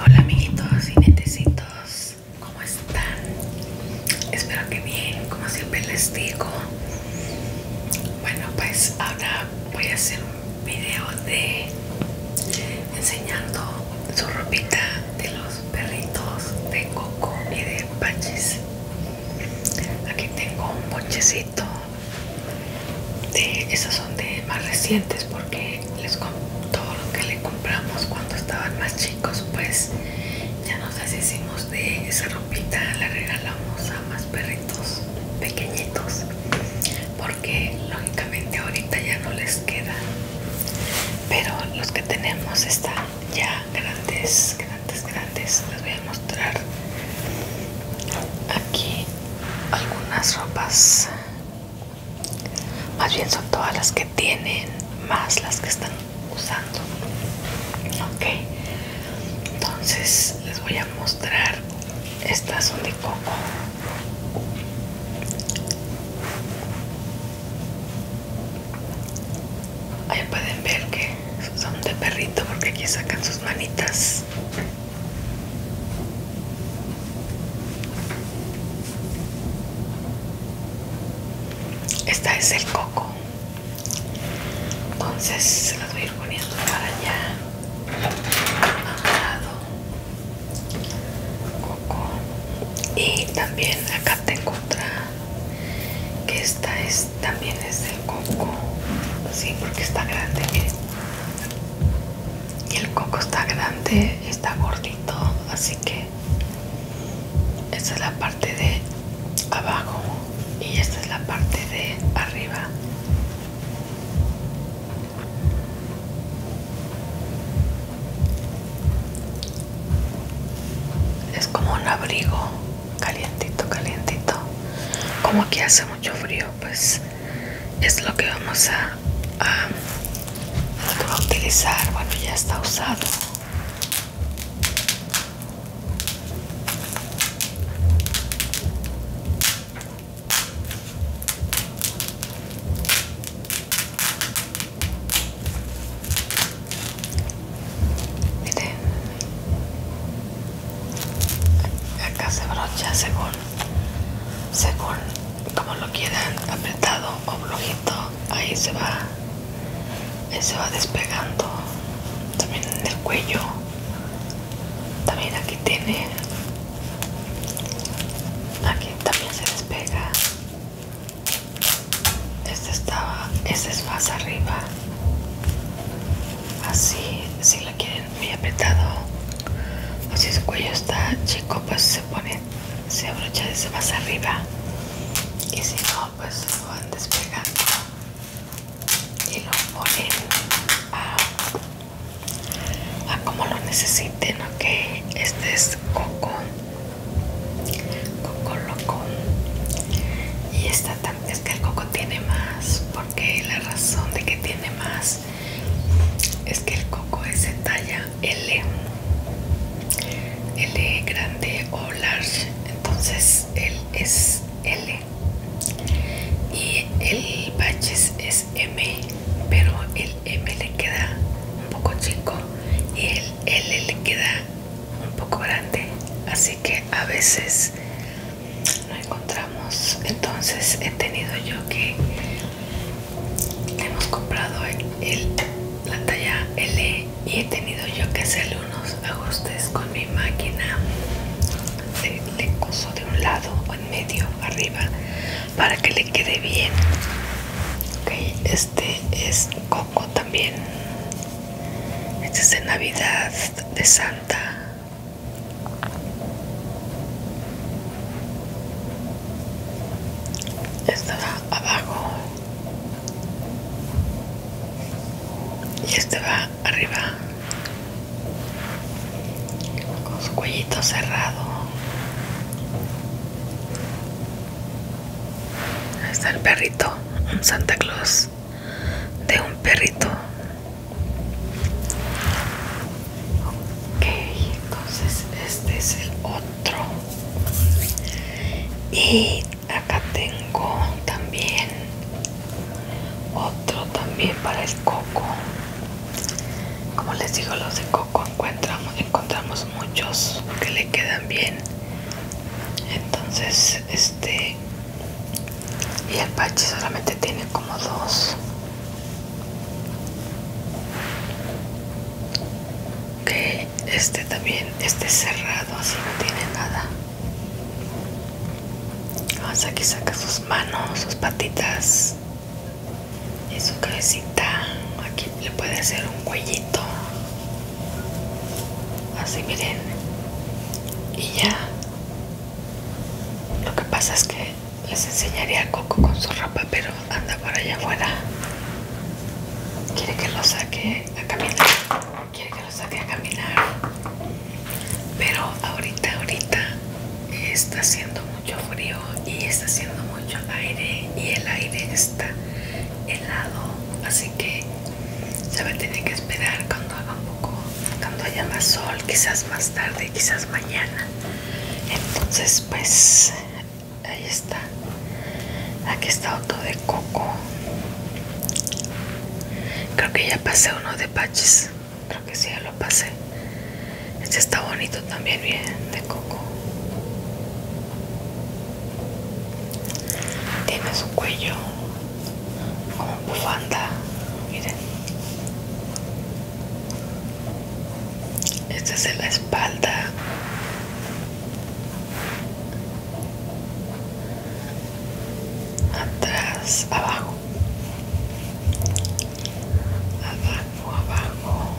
Hola amiguitos y netecitos, ¿cómo están? Espero que bien, como siempre les digo. Bueno, pues ahora voy a hacer un video de enseñando su ropita de los perritos de Coco y de Pachis Aquí tengo un ponchecito esas son de más recientes porque les todo lo que le compramos cuando estaban más chicos pues ya nos deshicimos de esa ropita la regalamos a más perritos pequeñitos porque lógicamente ahorita ya no les queda pero los que tenemos están ya grandes grandes grandes les voy a mostrar aquí algunas ropas más bien son todas las que tienen más las que están usando ok entonces les voy a mostrar estas son de coco ahí pueden ver que son de perrito porque aquí sacan sus manitas esta es el coco. Entonces se las voy a ir poniendo para allá. lado. Coco. Y también acá tengo otra. Que esta es también es del coco. Sí, porque está grande, y el coco está grande está gordito así que esta es la parte de abajo y esta es la parte de arriba es como un abrigo calientito calientito como aquí hace mucho frío pues es lo que vamos a, utilizar bueno ya está usado Miren, acá se brocha seguro según como lo quieran apretado o flojito ahí se va se va despegando también en el cuello también aquí tiene aquí también se despega este estaba este es más arriba así si lo quieren muy apretado o si su cuello está chico pues se pone se abrocha se más arriba y si no pues lo van despegando y lo ponen a, a como lo necesiten ok este es coco coco loco y esta también es que el coco tiene más porque la razón de que tiene más es que el coco es en talla L L grande o large entonces él es L y el baches es M pero el M le queda un poco chico y el L le queda un poco grande así que a veces no encontramos entonces he tenido yo que hemos comprado el, la talla L y he tenido yo que hacerle unos ajustes con mi máquina de, coso de un lado o en medio arriba para que le quede bien este es coco también este es de navidad de santa va abajo y este va arriba con su cuellito cerrado. está el perrito, un Santa Claus de un perrito ok entonces este es el otro y acá tengo también otro también para el coco como les digo los de coco encontramos, encontramos muchos que le quedan bien entonces este y el pachi solamente tiene como dos que este también esté cerrado así no tiene nada Vamos aquí saca sus manos sus patitas y su cabecita aquí le puede hacer un cuellito así miren y ya lo que pasa es que les enseñaría a Coco con su ropa, pero anda por allá afuera. Quiere que lo saque a caminar. Quiere que lo saque a caminar. Pero ahorita, ahorita está haciendo mucho frío y está haciendo mucho aire y el aire está helado. Así que se va a tener que esperar cuando haga un poco, cuando haya más sol, quizás más tarde, quizás mañana entonces pues ahí está aquí está otro de coco creo que ya pasé uno de patches creo que sí ya lo pasé este está bonito también bien de coco tiene su cuello como bufanda miren esta es en la espalda. Atrás, abajo. Abajo, abajo.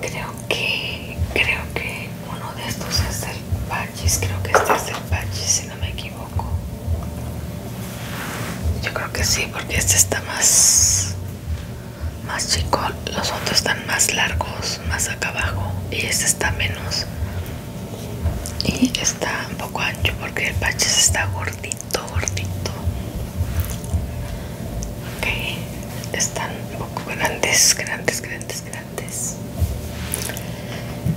Creo que creo que uno de estos es del Pachis, creo que este es del Pachis si no me equivoco. Yo creo que sí, porque este está más, más chico, los otros están más largos, más acá abajo y este está menos. Y está un poco ancho porque el Pachis está gordito, gordito. Ok, están un poco grandes grandes grandes grandes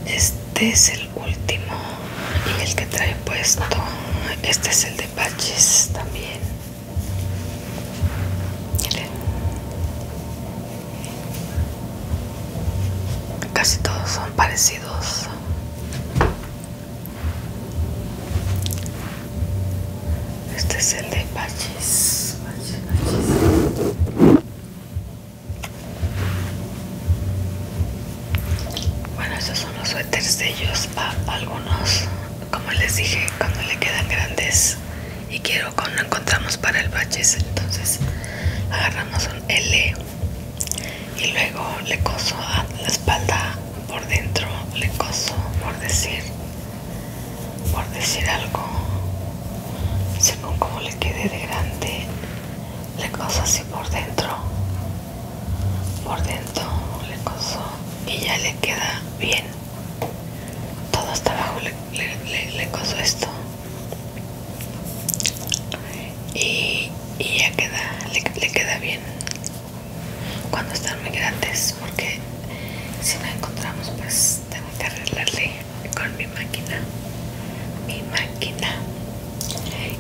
este es el último y el que trae puesto este es el de patches también miren casi todos son parecidos este es el de baches Bueno, estos son los suéteres de ellos. a algunos, como les dije, cuando le quedan grandes y quiero cuando encontramos para el baches entonces agarramos un L y luego le coso a la espalda por dentro, le coso por decir por decir algo según como le quede de grande le coso así por dentro por dentro le coso y ya le queda bien todo hasta abajo le, coso esto y, y ya queda le queda bien cuando están muy grandes porque si no encontramos pues tengo que arreglarle con mi máquina mi máquina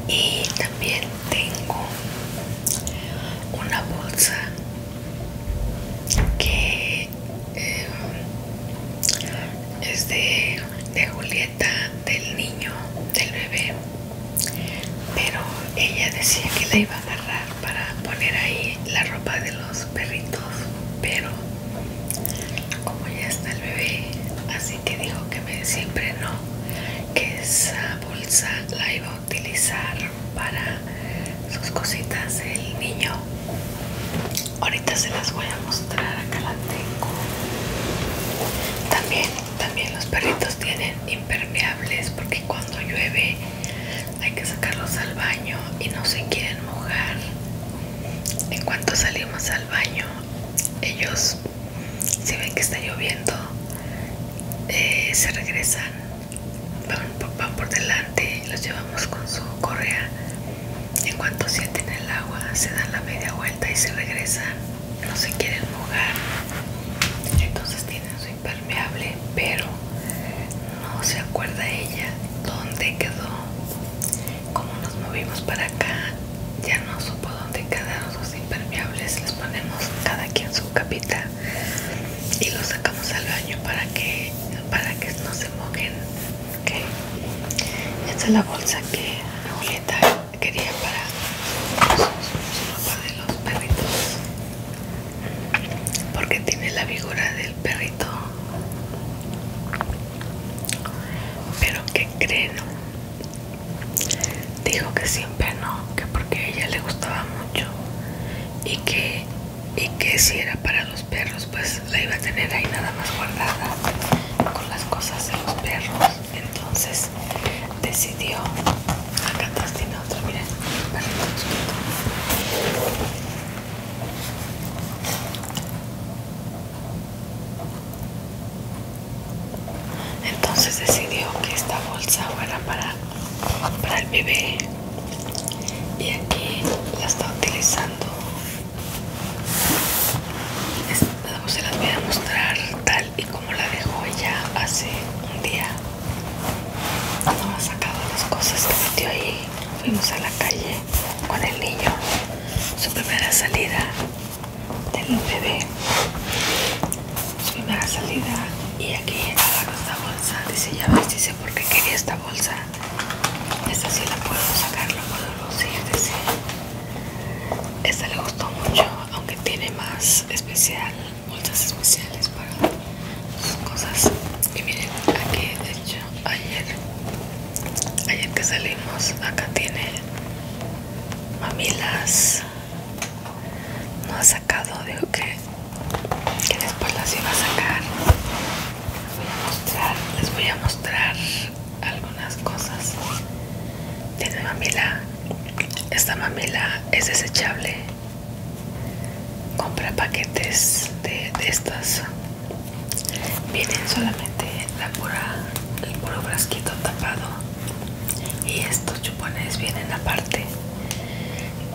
y también tengo una bolsa que em, es de, de Julieta del niño del bebé pero ella decía que la iba agarrar para poner ahí la ropa de los perritos pero como ya está el bebé así que dijo que me, siempre no que esa bolsa la iba a utilizar para sus cositas el niño ahorita se las voy a mostrar acá la tengo también también los perritos tienen impermeables porque cuando llueve hay que sacarlos al baño y no se quieren mojar. En cuanto salimos al baño, ellos, si ven que está lloviendo, eh, se regresan, van, por delante, los llevamos con su correa. En cuanto sienten el agua, se dan la media vuelta y se regresan, no se quieren mojar. Entonces tienen su impermeable pero no se acuerda ella dónde quedó como nos movimos para acá ya no supo dónde quedaron los impermeables les ponemos cada quien su capita y los sacamos al baño para que para que no se mojen esta es la bolsa que abuelita quería para los perritos porque tiene la figura del perrito pero que creen dijo que siempre no que porque a ella le gustaba mucho y que y que si era para los perros pues la iba a tener ahí nada más guardada con las cosas de los perros entonces decidió Acá atrás tiene otro, miren, Entonces decidió que esta bolsa fuera para, para el bebé y aquí la está utilizando. se las voy a mostrar tal y como la dejó ella hace un día. No ha sacado las cosas que metió ahí, fuimos a la calle con el niño. Su primera salida del bebé. Su primera salida. Y aquí estaba esta bolsa. Dice, ya ves, dice, porque quería esta bolsa. Esta sí la puedo sacar, la puedo lucir, dice. Esta le gustó mucho, aunque tiene más especial bolsas especiales para sus cosas y miren aquí de hecho ayer ayer que salimos acá tiene mamilas no ha sacado digo que, después las iba a sacar les voy a mostrar les voy a mostrar algunas cosas tiene mamila esta mamila es desechable compra paquetes de, de estas vienen solamente la pura el puro brasquito tapado y estos chupones vienen aparte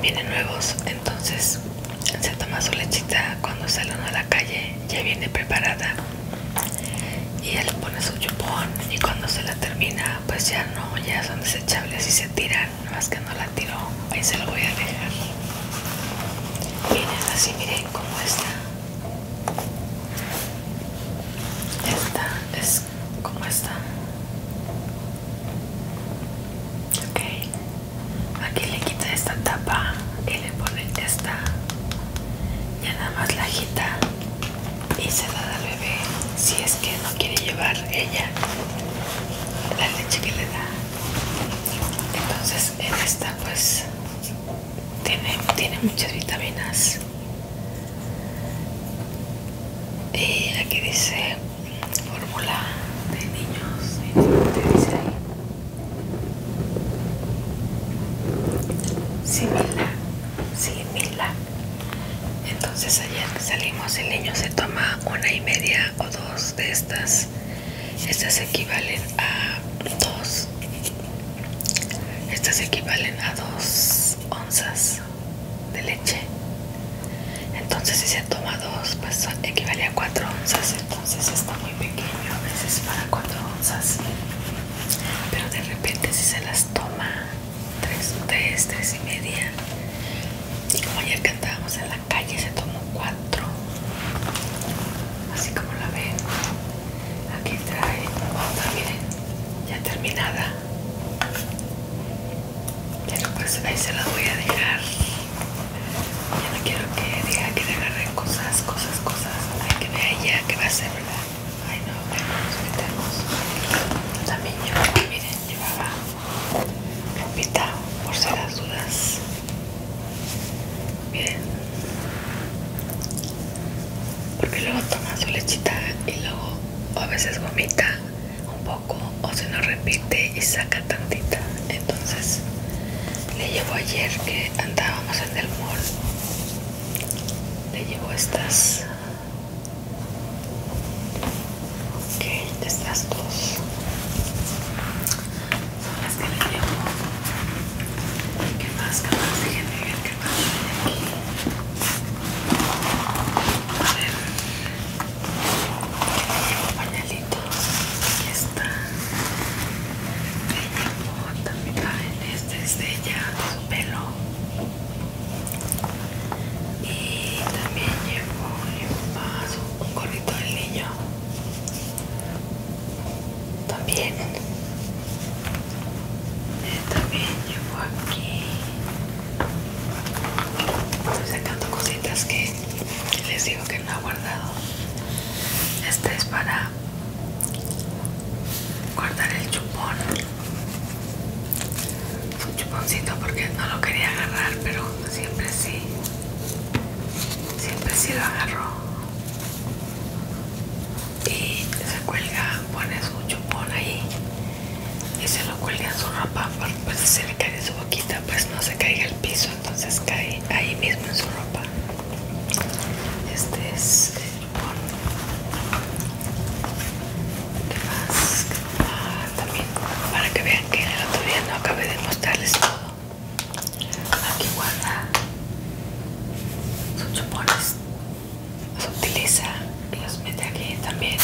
vienen nuevos entonces se toma su lechita cuando salen a la calle ya viene preparada y él pone su chupón y cuando se la termina pues ya no ya son desechables y se tiran nada más que no la tiro, ahí se lo voy a dejar. Miren así, miren cómo está. Esta es como está. Ok, aquí le quita esta tapa y le pone esta. Ya nada más la agita y se la da al bebé si es que no quiere llevar ella la leche que le da entonces en esta pues tiene, muchas vitaminas y aquí dice fórmula de niños si dice ahí Simila, entonces ayer salimos el niño se toma una y media o dos de estas. Estas equivalen a dos. Estas equivalen a dos onzas de leche. Entonces si se toma dos, pues equivale a cuatro onzas. Entonces está muy pequeño a veces para cuatro onzas. Pero de repente si se las toma 3, 3, 3 y media y como ayer que andábamos en la calle se tomó 4 así como la ven aquí trae otra miren ya terminada pero pues ahí se la voy a dejar ya no quiero que diga que le agarren cosas, cosas, cosas hay que vea ella que va a ser verdad ay no, bueno, nos metemos también yo, miren, llevaba Rompita, por ser las dudas miren porque luego toma su lechita y luego a veces vomita un poco o se nos repite y saca tantita entonces le llevo ayer que andábamos en el mall le llevo estas Ok, estas dos son las que le llevo. ¿Qué más? ¿Qué más? Déjenme ver qué más aquí. A ver. Llevo pañalitos. Aquí está. Me llevo también. esta es pelo. Y también llevo un un gorrito del niño. También. Eh, también llevo aquí. sacando cositas que les digo que no he guardado. Este es para guardar el chupón un chuponcito porque no lo quería agarrar, pero siempre sí, siempre sí lo agarró. Y se cuelga, pone su chupón ahí y se lo cuelga en su ropa, pues si se le cae su boquita, pues no se caiga el piso, entonces cae ahí mismo en su ropa. Este es el chupón ¿Qué más? también para que vean que en el otro no acabé de mostrarles todo. Aquí guarda sus chupones, los utiliza y los mete aquí también.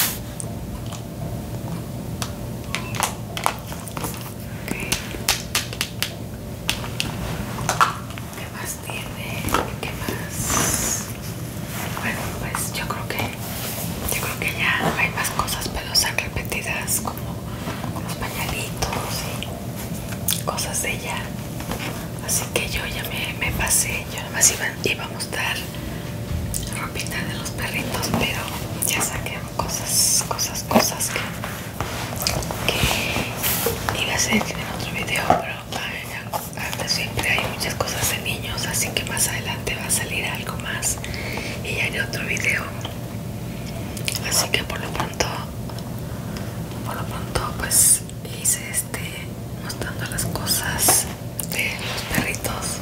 que ¿Qué más tiene? ¿Qué más? Bueno, pues yo creo que yo creo que ya hay más cosas, pero son repetidas como los pañalitos y cosas de ella. Así que yo ya me, pasé, yo nomás iba, a mostrar ropita de los perritos, pero ya saqué cosas, cosas, cosas que, iba a hacer en otro video, pero siempre hay muchas cosas de niños así que más adelante va a salir algo más y hay otro video así que por lo pronto por lo pronto pues hice este mostrando las cosas de los perritos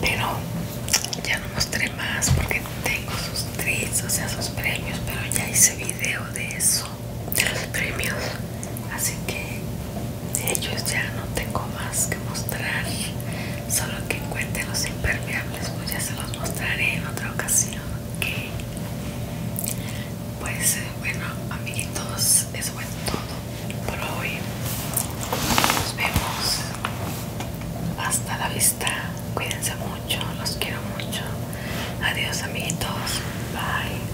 pero ya no mostré más porque tengo sus treats o sea sus premios pero ya hice video de eso de los premios así que de ellos ya no tengo más que mostrar solo que encuentren los impermeables pues ya se los mostraré en otra ocasión que pues eh, bueno amiguitos eso fue todo por hoy nos vemos hasta la vista cuídense mucho los quiero mucho adiós amiguitos bye